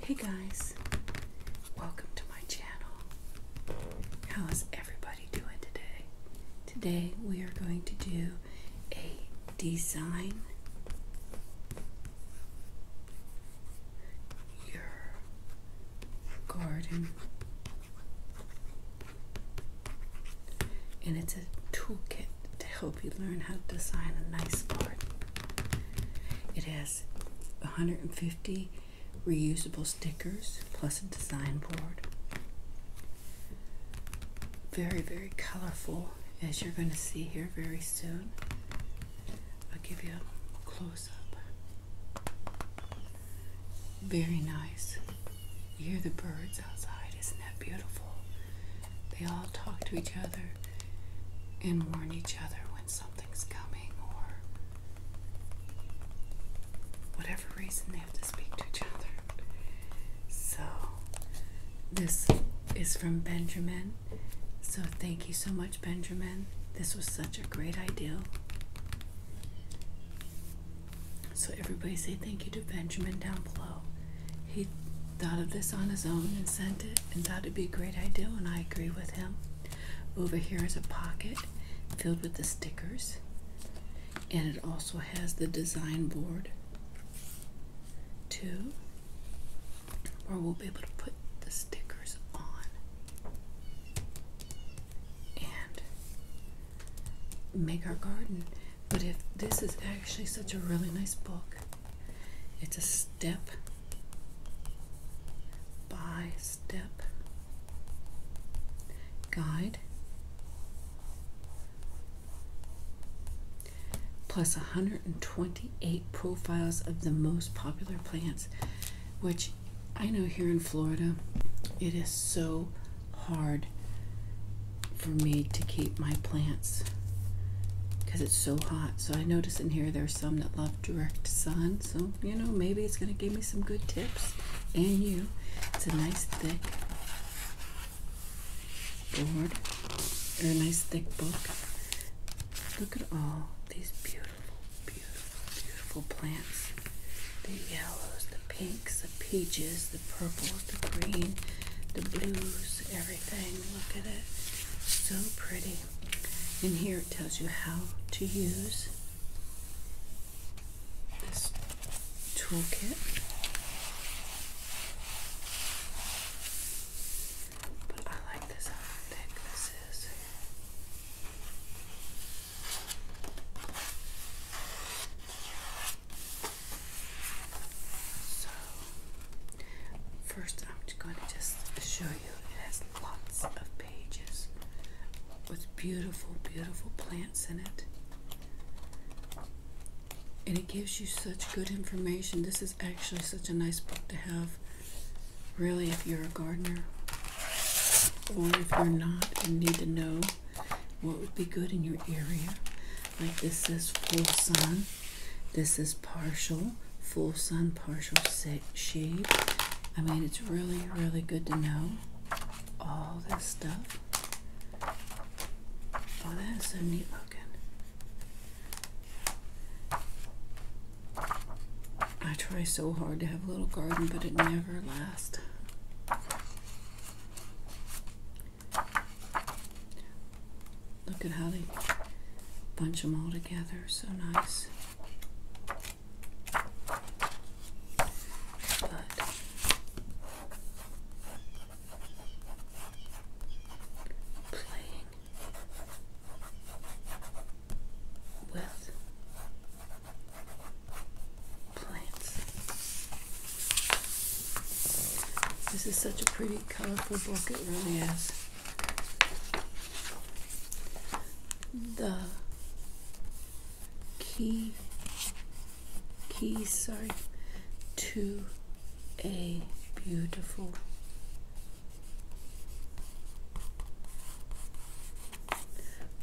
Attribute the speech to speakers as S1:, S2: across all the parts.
S1: Hey guys, welcome to my channel. How is everybody doing today? Today we are going to do a design your garden and it's a toolkit to help you learn how to design a nice card. It has 150 reusable stickers plus a design board. Very, very colorful, as you're going to see here very soon. I'll give you a close up. Very nice. You hear the birds outside. Isn't that beautiful? They all talk to each other and warn each other when something's coming or whatever reason they have to speak to each other. So, this is from Benjamin. So, thank you so much, Benjamin. This was such a great idea. So everybody say thank you to Benjamin down below. He thought of this on his own and sent it and thought it'd be a great idea and I agree with him. Over here is a pocket filled with the stickers and it also has the design board too where we'll be able to put the stickers on and make our garden. But if this is actually such a really nice book, it's a step by step guide. plus 128 profiles of the most popular plants, which I know here in Florida, it is so hard for me to keep my plants because it's so hot. So I notice in here there's some that love direct sun. So, you know, maybe it's going to give me some good tips. And you. It's a nice thick board and a nice thick book. Look at all these beautiful, beautiful beautiful plants the yellows, the pinks, the peaches, the purples, the green, the blues, everything. Look at it. So pretty. And here it tells you how to use this toolkit. But I like this how so, first I'm going to just show you it has lots of pages with beautiful, beautiful plants in it. And it gives you such good information. This is actually such a nice book to have, really, if you're a gardener or if you're not and you need to know what would be good in your area, like this is full sun, this is partial, full sun, partial shade. I mean, it's really, really good to know all this stuff. Oh, that is so neat looking. I try so hard to have a little garden, but it never lasts. Look at how they bunch them all together. So nice. playing with plants. This is such a pretty, colorful book, it really is. The key, Key. sorry, to a beautiful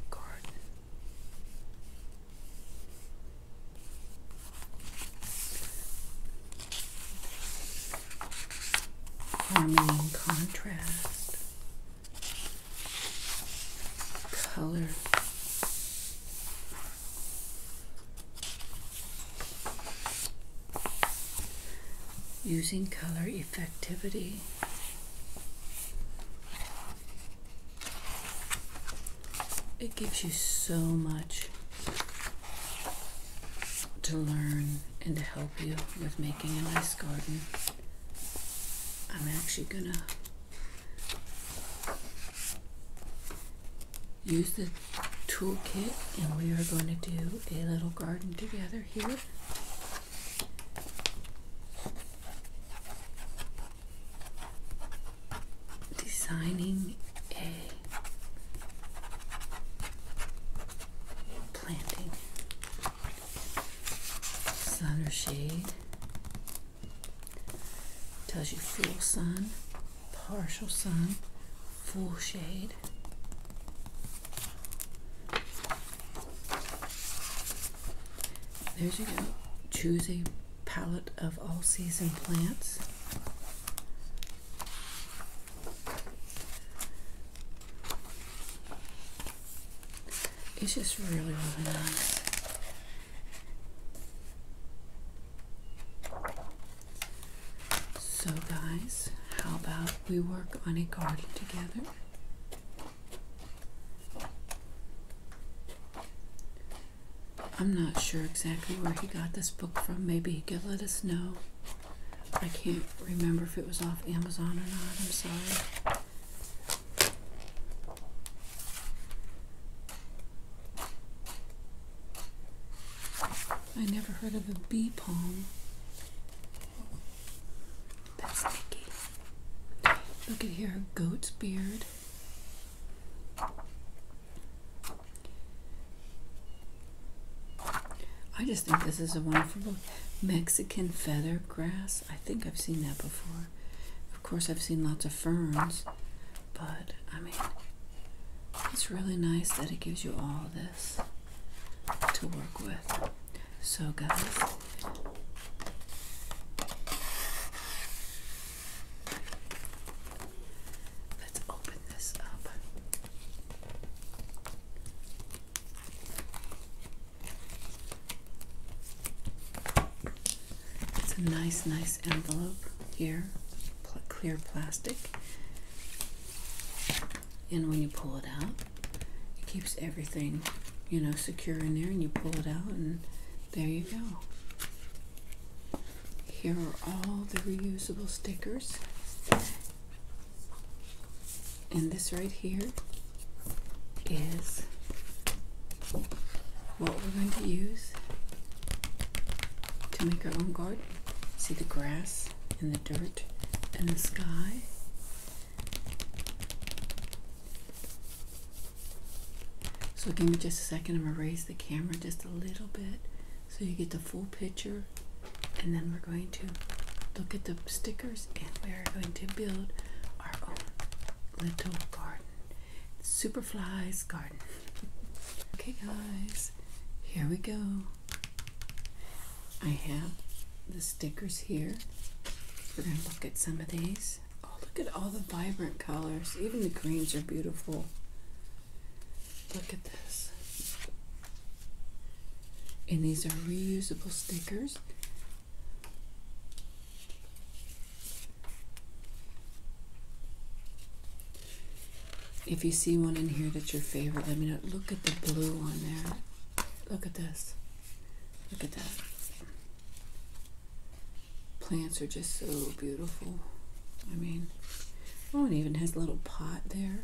S1: garden. Harmony and contrast, color. Using color effectivity. It gives you so much to learn and to help you with making a nice garden. I'm actually going to use the toolkit and we are going to do a little garden together here designing a planting sun or shade tells you full sun partial sun full shade there's you go. Choose a palette of all season plants. It's just really, really nice. So guys, how about we work on a garden together? I'm not sure exactly where he got this book from. Maybe he could let us know. I can't remember if it was off Amazon or not. I'm sorry. I never heard of a bee palm. That's Nikki. Look at here, goat's beard. I just think this is a wonderful Mexican feather grass. I think I've seen that before. Of course, I've seen lots of ferns, but I mean, it's really nice that it gives you all this to work with. So, guys, Let's open this up. It's a nice, nice envelope here, clear plastic. And when you pull it out, it keeps everything, you know, secure in there. And you pull it out, and there you go. Here are all the reusable stickers. And this right here is what we're going to use to make our own garden. See the grass and the dirt and the sky so give me just a second. I'm going to raise the camera just a little bit so you get the full picture. And then we're going to look at the stickers and we are going to build our own little garden. Superflies garden. okay guys, here we go. I have the stickers here. We're going to look at some of these. Oh, look at all the vibrant colors. Even the greens are beautiful. Look at this. And these are reusable stickers. If you see one in here that's your favorite, let me know. Look at the blue one there. Look at this. Look at that. Plants are just so beautiful. I mean, oh, it even has a little pot there.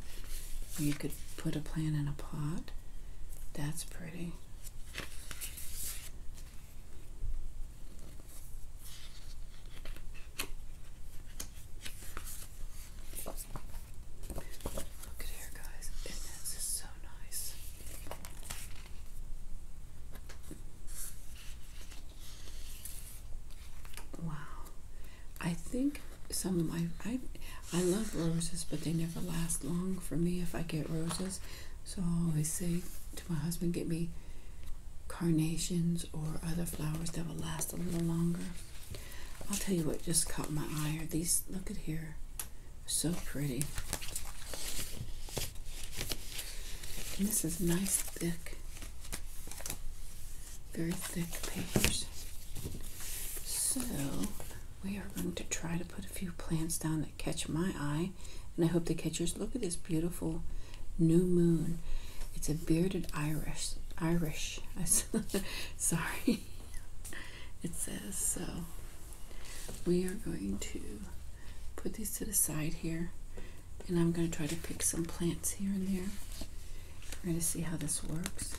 S1: You could put a plant in a pot. That's pretty. Look at here, guys. this is so nice. Wow. I think some of my I I love roses, but they never last long for me if I get roses. So I always say to my husband, get me carnations or other flowers that will last a little longer. I'll tell you what just caught my eye are these look at here. So pretty. And this is nice, thick, very thick papers. So we are going to try to put a few plants down that catch my eye, and I hope they catch yours. Look at this beautiful new moon. It's a bearded Irish. Irish. Sorry. It says so. We are going to put these to the side here. And I'm going to try to pick some plants here and there. We're going to see how this works.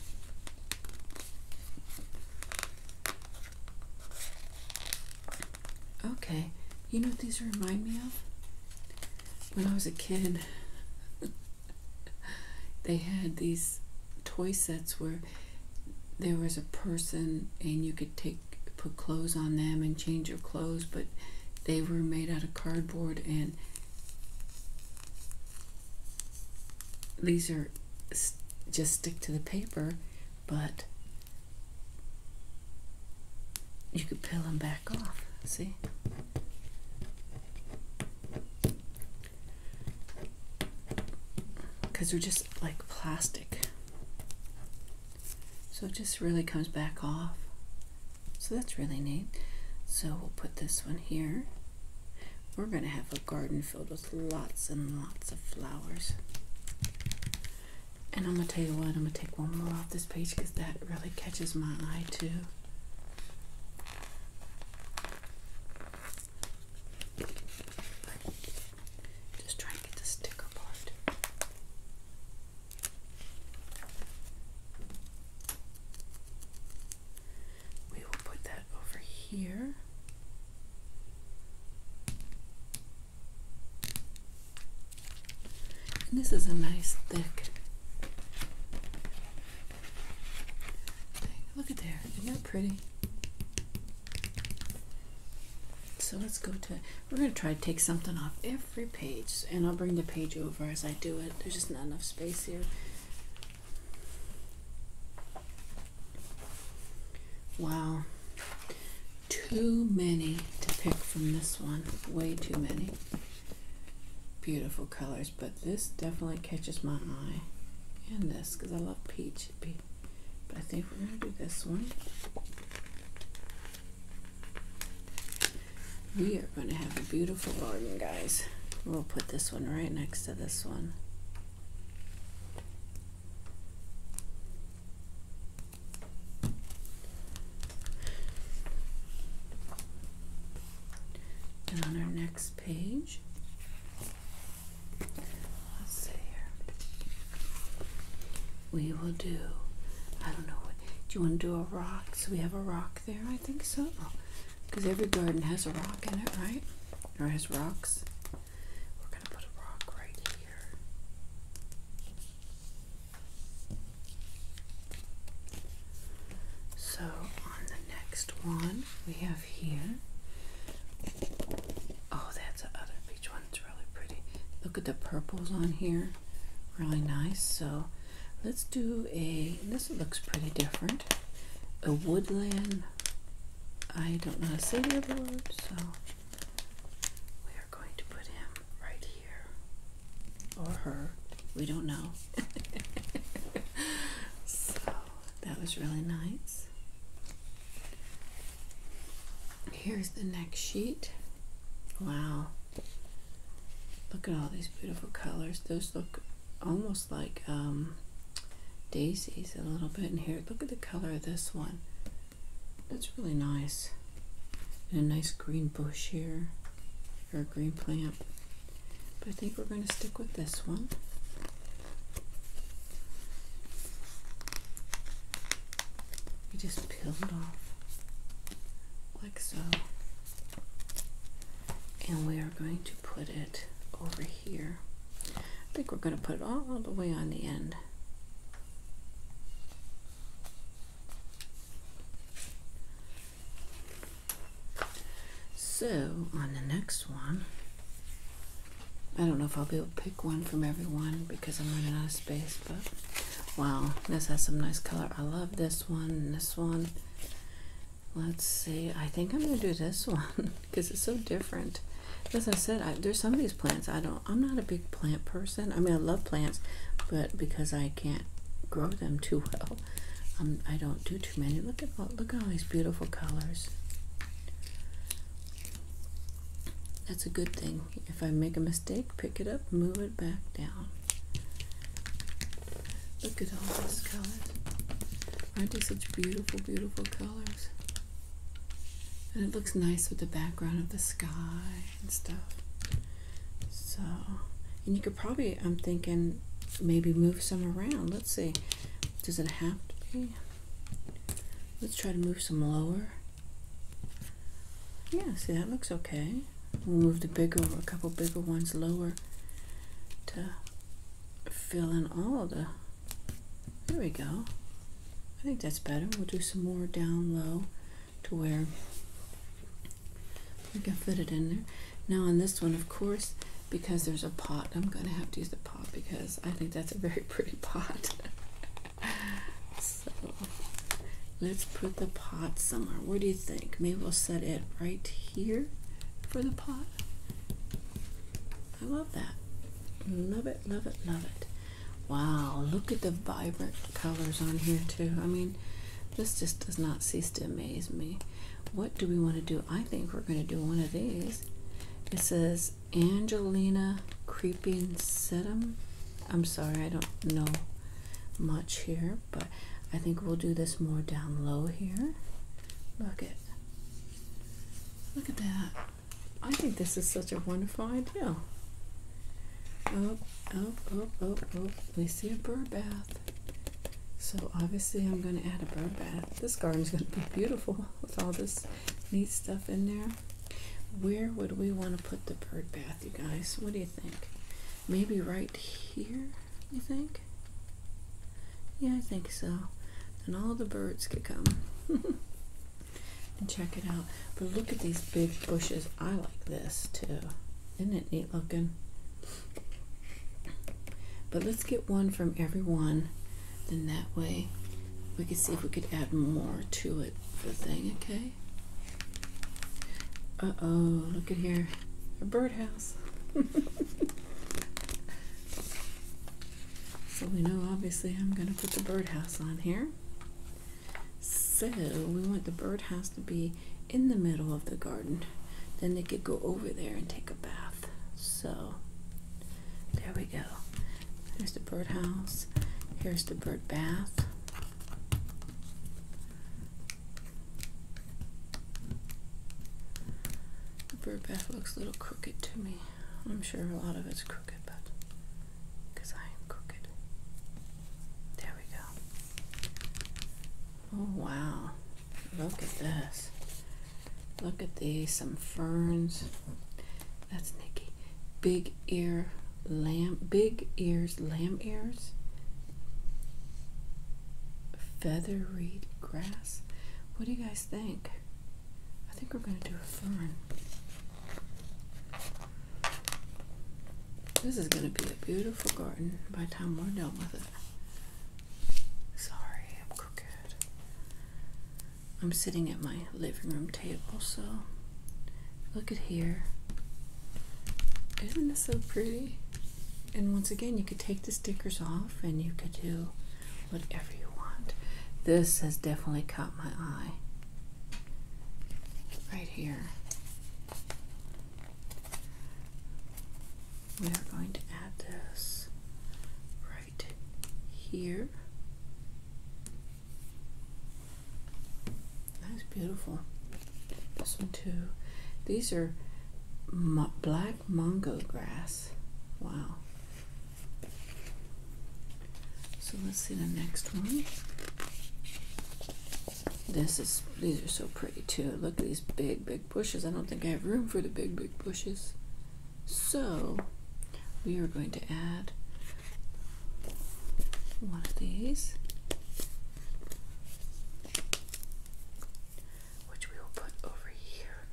S1: Okay, you know what these remind me of? When I was a kid, they had these toy sets where there was a person and you could take put clothes on them and change your clothes, but they were made out of cardboard and these are just stick to the paper, but you could peel them back off. See? Because we are just like plastic. So it just really comes back off. So that's really neat. So we'll put this one here. We're going to have a garden filled with lots and lots of flowers. And I'm going to tell you what, I'm going to take one more off this page because that really catches my eye too. Just try and get the sticker part. We will put that over here. And this is a nice thick thing. Look at there. Isn't that pretty? So let's go to, we're going to try to take something off every page, and I'll bring the page over as I do it. There's just not enough space here. Wow. Too many to pick from this one. Way too many. Beautiful colors, but this definitely catches my eye. And this, because I love peach. peach. But I think we're going to do this one. We are going to have a beautiful garden, guys. We'll put this one right next to this one. And on our next page, Let's see here. We will do. I don't know what. Do you want to do a rock? So we have a rock there. I think so. Because oh, every garden has a rock in it, right? Or has rocks. We're gonna put a rock right here. So on the next one we have here. Oh, that's a each one's really pretty. Look at the purples on here. Really nice. So let's do a, this looks pretty different. A woodland, I don't know how to say the other word, so we are going to put him right here. Or her. We don't know. so that was really nice. Here's the next sheet. Wow. Look at all these beautiful colors. Those look almost like um, daisies a little bit in here. Look at the color of this one. That's really nice. And a nice green bush here, or a green plant. But I think we're going to stick with this one you just peel it off like so. And we are going to put it over here. I think we're going to put it all the way on the end. So on the next one, I don't know if I'll be able to pick one from everyone because I'm running out of space, but wow, this has some nice color. I love this one this one. Let's see. I think I'm gonna do this one because it's so different. As I said, there's some of these plants I don't. I'm not a big plant person. I mean, I love plants, but because I can't grow them too well, um, I don't do too many. Look at look at all these beautiful colors. That's a good thing. If I make a mistake, pick it up, move it back down. Look at all these colors. Aren't they such beautiful, beautiful colors? And it looks nice with the background of the sky and stuff. So, and you could probably, I'm thinking, maybe move some around. Let's see. Does it have to be? Let's try to move some lower. Yeah, see that looks okay. We'll move the bigger or a couple bigger ones lower to fill in all the there we go. I think that's better. We'll do some more down low to where we can fit it in there. Now on this one, of course, because there's a pot, I'm going to have to use the pot because I think that's a very pretty pot. so let's put the pot somewhere. What do you think? Maybe we'll set it right here for the pot. I love that. Love it, love it, love it. Wow, look at the vibrant colors on here too. I mean, this just does not cease to amaze me. What do we want to do? I think we're going to do one of these. It says Angelina Creeping Sedum. I'm sorry, I don't know much here, but I think we'll do this more down low here. Look at look at that. I think this is such a wonderful idea. Oh, oh, oh, oh, oh, we see a bird bath. So obviously I'm going to add a bird bath. This garden's going to be beautiful with all this neat stuff in there. Where would we want to put the bird bath, you guys? What do you think? Maybe right here, you think? Yeah, I think so. Then all the birds could come and check it out. But look at these big bushes. I like this too. Isn't it neat looking? But let's get one from everyone then that way we can see if we could add more to it the thing okay uh-oh look at here a birdhouse so we know obviously i'm going to put the birdhouse on here so we want the birdhouse to be in the middle of the garden then they could go over there and take a bath so there we go. Here's the birdhouse. Here's the bird bath. The bird bath looks a little crooked to me. I'm sure a lot of it's crooked, but I am crooked. There we go. Oh, wow. Look at this. Look at these. Some ferns. That's Nikki. Big ear lamb, big ears, lamb ears. Feather grass. What do you guys think? I think we're going to do a fern. This is going to be a beautiful garden by the time we're done with it. Sorry, I'm crooked. I'm sitting at my living room table, so look at here. Isn't this so pretty? And once again, you could take the stickers off and you could do whatever you want. This has definitely caught my eye. Right here. We are going to add this right here. That's beautiful. This one too. These are mo black mango grass. Wow. So let's see the next one. This is these are so pretty too. Look at these big big bushes. I don't think I have room for the big big bushes. So we are going to add one of these, which we will put over here.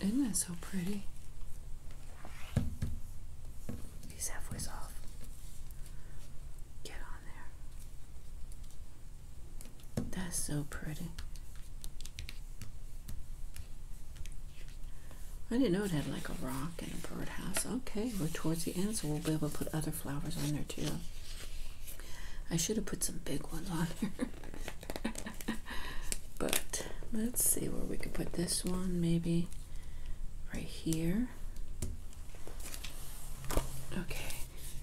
S1: Isn't that so pretty? He's halfway off. Get on there. That's so pretty. I didn't know it had like a rock and a birdhouse. Okay, we're towards the end, so we'll be able to put other flowers on there too. I should have put some big ones on there. but let's see where we can put this one. Maybe right here. Okay,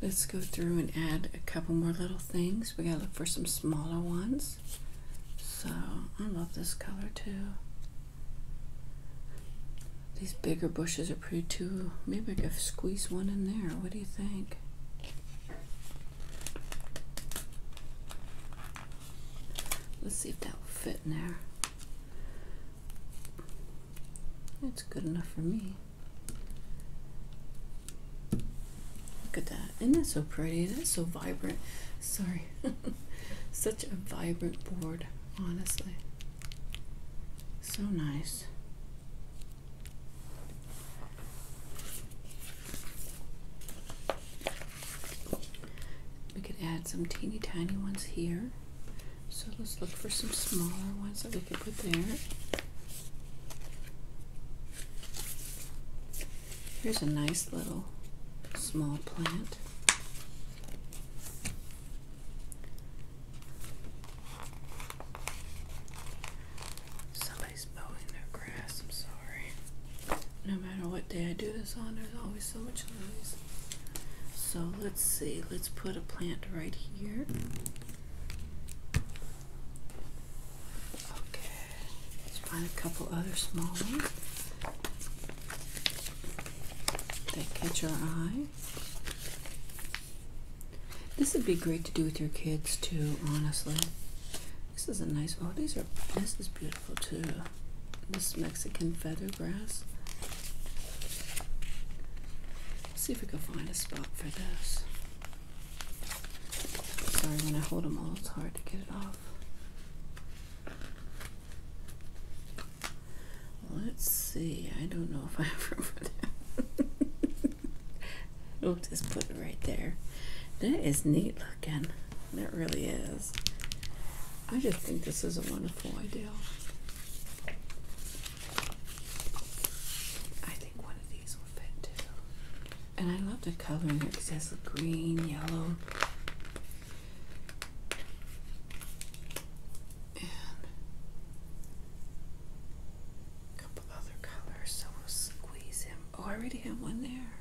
S1: let's go through and add a couple more little things. We gotta look for some smaller ones. So I love this color too. These bigger bushes are pretty too. Maybe I could squeeze one in there. What do you think? Let's see if that will fit in there. That's good enough for me. Look at that. Isn't that so pretty? That's so vibrant. Sorry. Such a vibrant board, honestly. So nice. We could add some teeny tiny ones here. So let's look for some smaller ones that we could put there. Here's a nice little small plant. Somebody's mowing their grass, I'm sorry. No matter what day I do this on, there's always so much noise. So let's see, let's put a plant right here. Okay. Let's find a couple other small ones. They catch our eye. This would be great to do with your kids too, honestly. This is a nice oh these are this is beautiful too. This Mexican feather grass. Let's see if we can find a spot for this. Sorry when I hold them all it's hard to get it off. Let's see. I don't know if I remember that. we'll just put it right there. That is neat looking. That really is. I just think this is a wonderful idea. I think one of these would fit too. And I love the color in here because it has green, yellow, a couple other colors, so we'll squeeze him. Oh, I already have one there.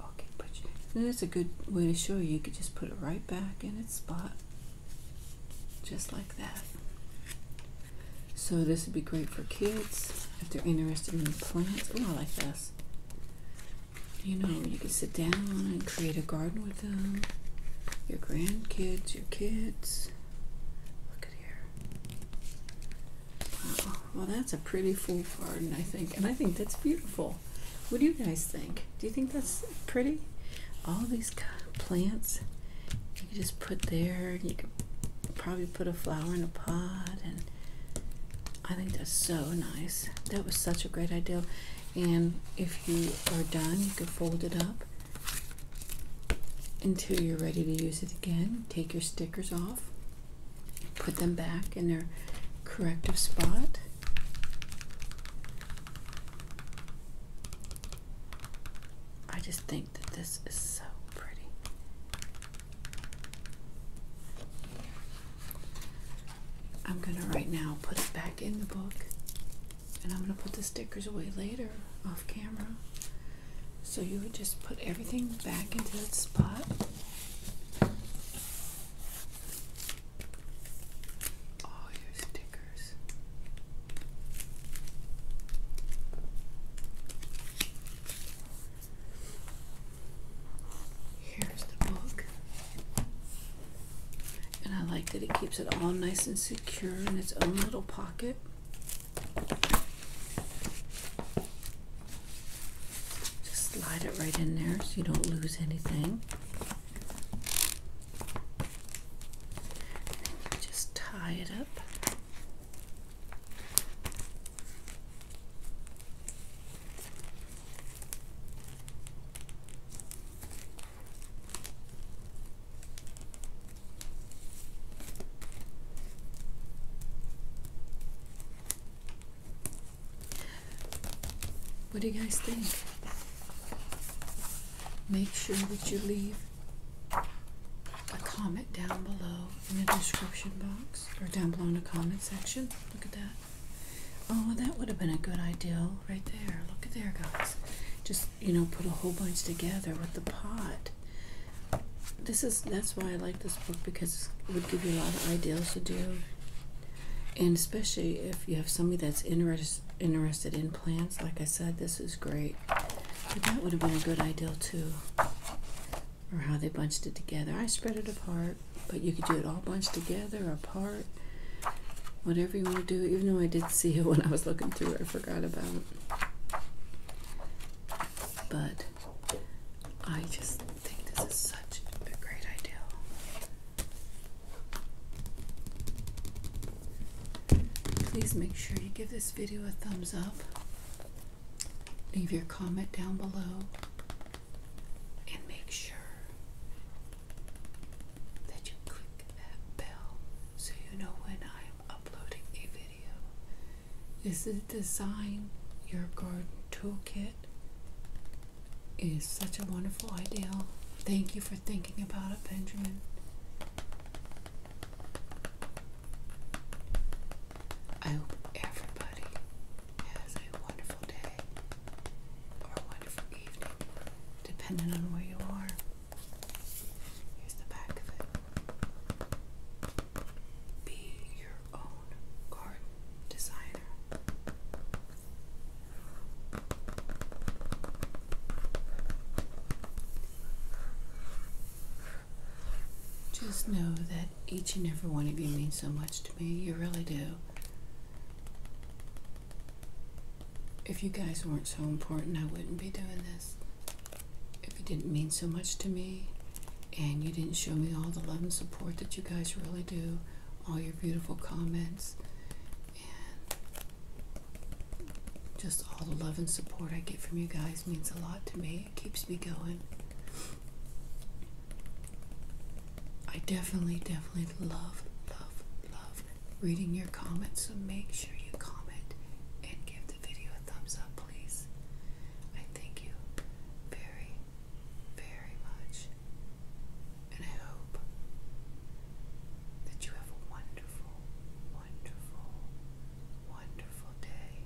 S1: Okay, but that's a good way to show you. You could just put it right back in its spot, just like that. So this would be great for kids if they're interested in plants. Oh, I like this you know, you can sit down and create a garden with them. Your grandkids, your kids. Look at here. Wow. Well, that's a pretty full garden, I think. And I think that's beautiful. What do you guys think? Do you think that's pretty? All these plants you can just put there. You can probably put a flower in a pot and I think that's so nice. That was such a great idea. And if you are done, you can fold it up until you're ready to use it again. Take your stickers off, put them back in their corrective spot. I just think that this is so pretty. I'm going to right now put it back in the book and I'm going to put the stickers away later off camera. So you would just put everything back into its spot. All your stickers. Here's the book. And I like that it keeps it all nice and secure in its own little pocket. Just slide it right in there so you don't lose anything. just tie it up. What do you guys think? Make sure that you leave a comment down below in the description box or down below in the comment section. Look at that. Oh, that would have been a good idea right there. Look at there, guys. Just, you know, put a whole bunch together with the pot. This is, that's why I like this book because it would give you a lot of ideas to do. And especially if you have somebody that's interest, interested in plants, like I said, this is great. But that would have been a good idea too or how they bunched it together. I spread it apart, but you could do it all bunched together apart. Whatever you want to do, even though I did see it when I was looking through it, I forgot about it. But I just think this is such a great idea. Please make sure you give this video a thumbs up. Leave your comment down below and make sure that you click that bell so you know when I'm uploading a video. This Design Your Garden Toolkit. It is such a wonderful idea. Thank you for thinking about it, Benjamin. I hope everybody has a wonderful day or a wonderful evening, depending on where you are. Here's the back of it Be your own garden designer. Just know that each and every one of you means so much to me. You really do if you guys weren't so important, I wouldn't be doing this. If you didn't mean so much to me and you didn't show me all the love and support that you guys really do, all your beautiful comments, and just all the love and support I get from you guys means a lot to me. It keeps me going. I definitely, definitely love, love, love reading your comments. So make sure you comment and give the video a thumbs up, please. I thank you very, very much. And I hope that you have a wonderful, wonderful, wonderful day.